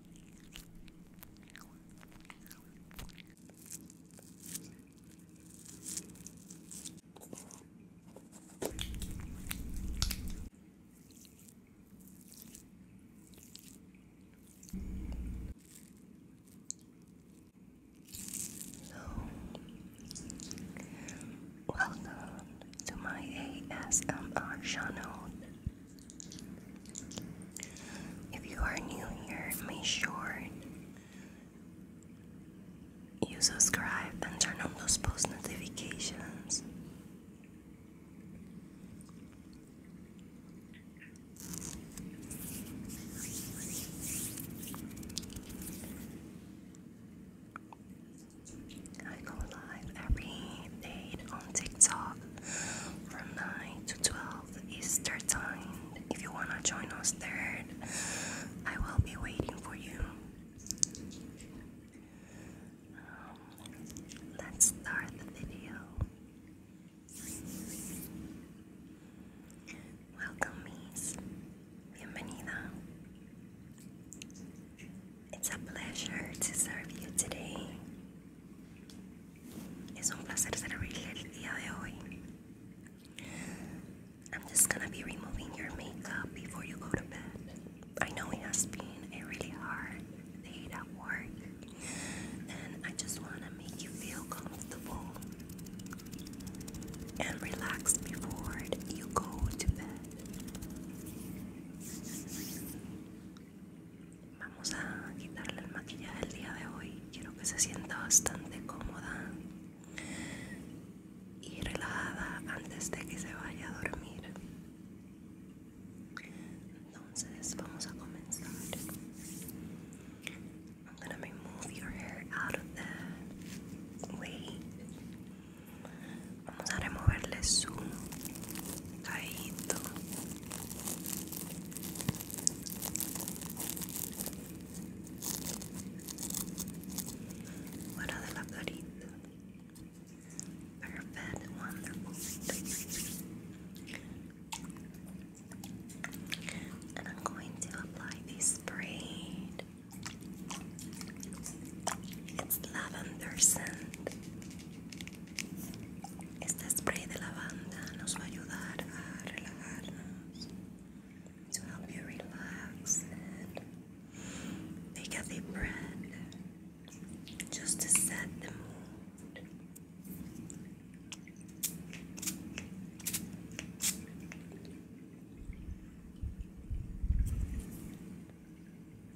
Hello, welcome to my ASMR channel. If you are new here, make sure you subscribe and turn on those post notifications. I go live every day on TikTok from 9 to 12 Easter time. If you want to join us third, I will be waiting for you. Um, let's start the video. Welcome, Miss. Bienvenida. It's a pleasure to serve you today. It's un placer servirle el día de hoy. I'm just gonna be removing your makeup before you go to bed. I know it has been a really hard day at work, and I just wanna make you feel comfortable and relaxed before you go to bed. Vamos a quitarle el maquillaje del día de hoy. Quiero que se sienta bastante cómoda y relajada antes de que se vaya a dormir. Entonces vamos a comenzar. Vamos a removerle su caído Fuera de la Perfect, wonderful. And I'm going to apply this braid. It's lavender scent. Este spray de lavanda nos va a ayudar a relajarnos. To help you relax and take a deep breath just to set the mood.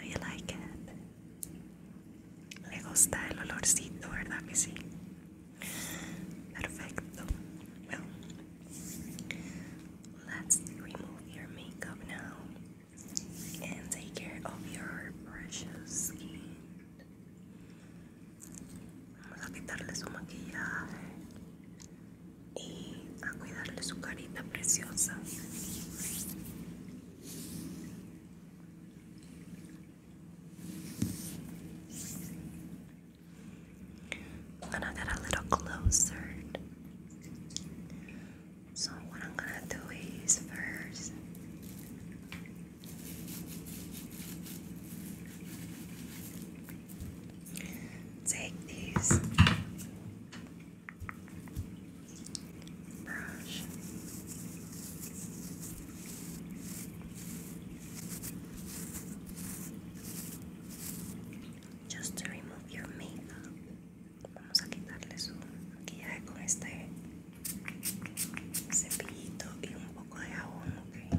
Do you like it? Le gusta el olorcito, ¿verdad que Perfecto. let's remove your makeup now and take care of your precious skin. Vamos a quitarle su maquillaje y a cuidarle su carita preciosa. I'm gonna get a little closer. So, what I'm gonna do is first Take these brush. Just to remove your makeup, vamos a quitarle su maquillaje con este cepillito y un poco de jabón, ok.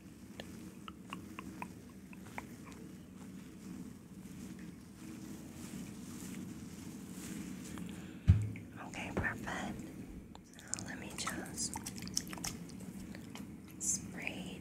Okay, perfect. let me just spray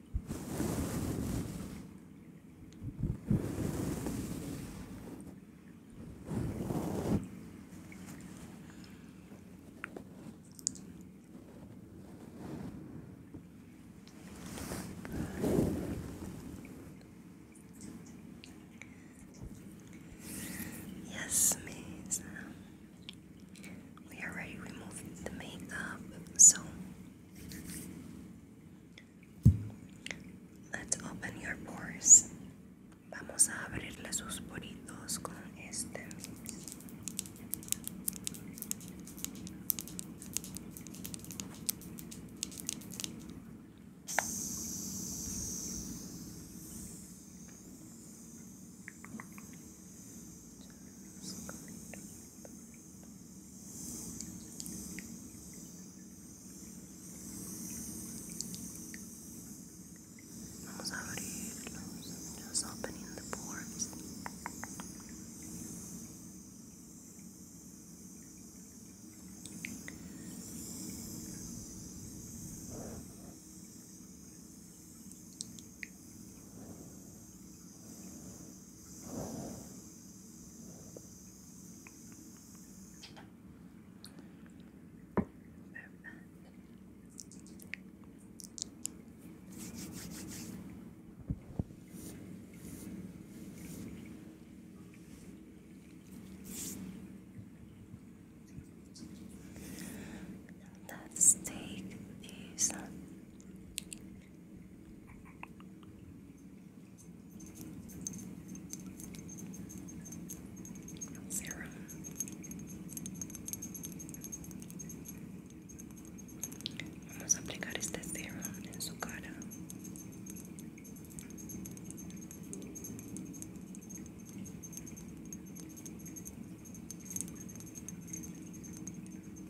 Yes, Miss. We are ready the makeup, so Let's open your pores. Vamos a abrirle sus poritos con este. Vamos a abrirlos, just opening the pores. Good. Let's take these Serum. Vamos a aplicar este serum en su cara.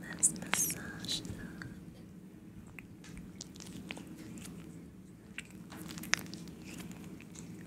Let's massage that.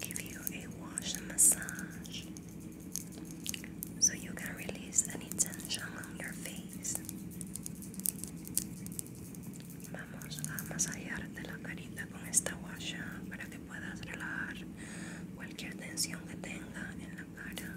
give you a wash and massage so you can release any tension on your face. Vamos a masajearte la carita con esta washa para que puedas relajar cualquier tensión que tenga en la cara.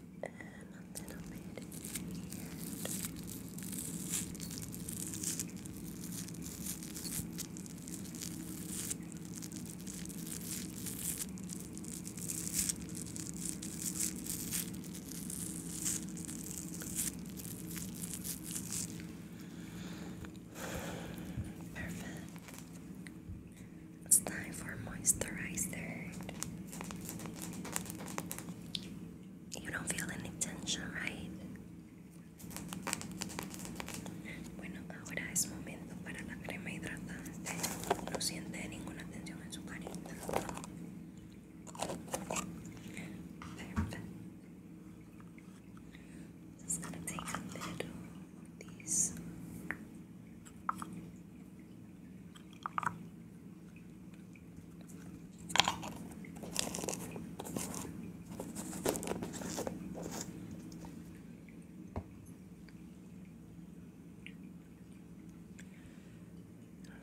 and a Perfect. It's time for moisturizer. You don't feel any tension, right? Bueno, ahora es momento para la crema hidratante. No siente ninguna tensión en su carita. Just gonna take a little of these. Now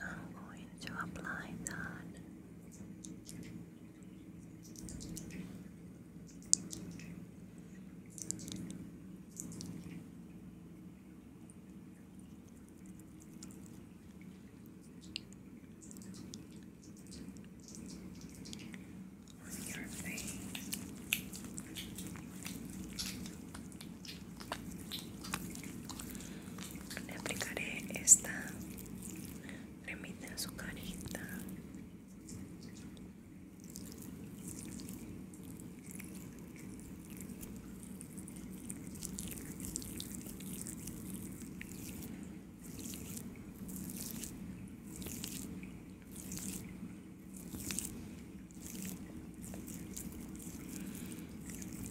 I'm going to apply that. Le aplicaré esta cremita en su carita.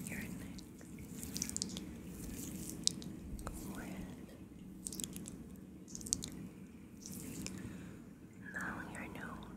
Your neck, forehead. Now your nose.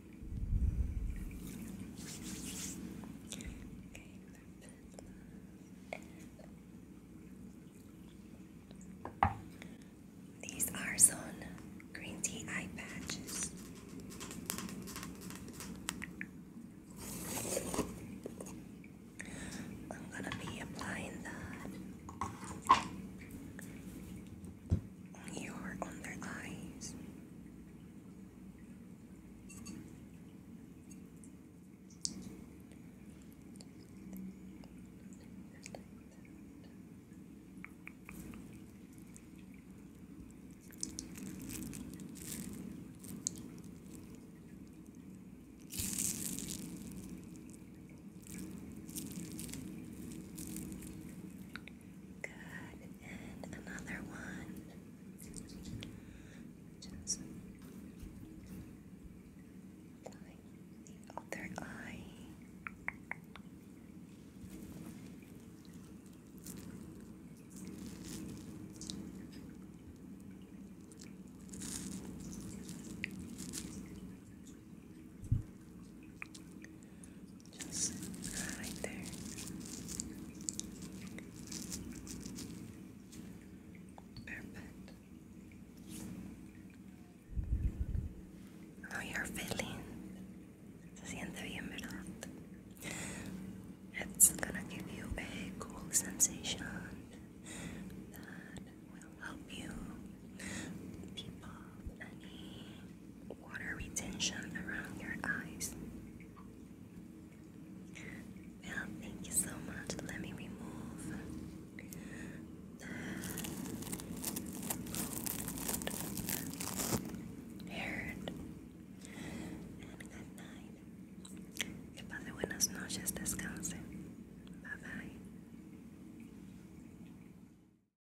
These are some green tea eye patches. I'm gonna be applying the you're on their eyes. Good. And another one. Just the other eye. Just right there. Perfect. How you're feeling? It's gonna give you a cool sensation that will help you keep off any water retention around your eyes. Well, thank you so much. Let me remove the Heard. And good night. Que pase buenas noches, descanse. Bye bye.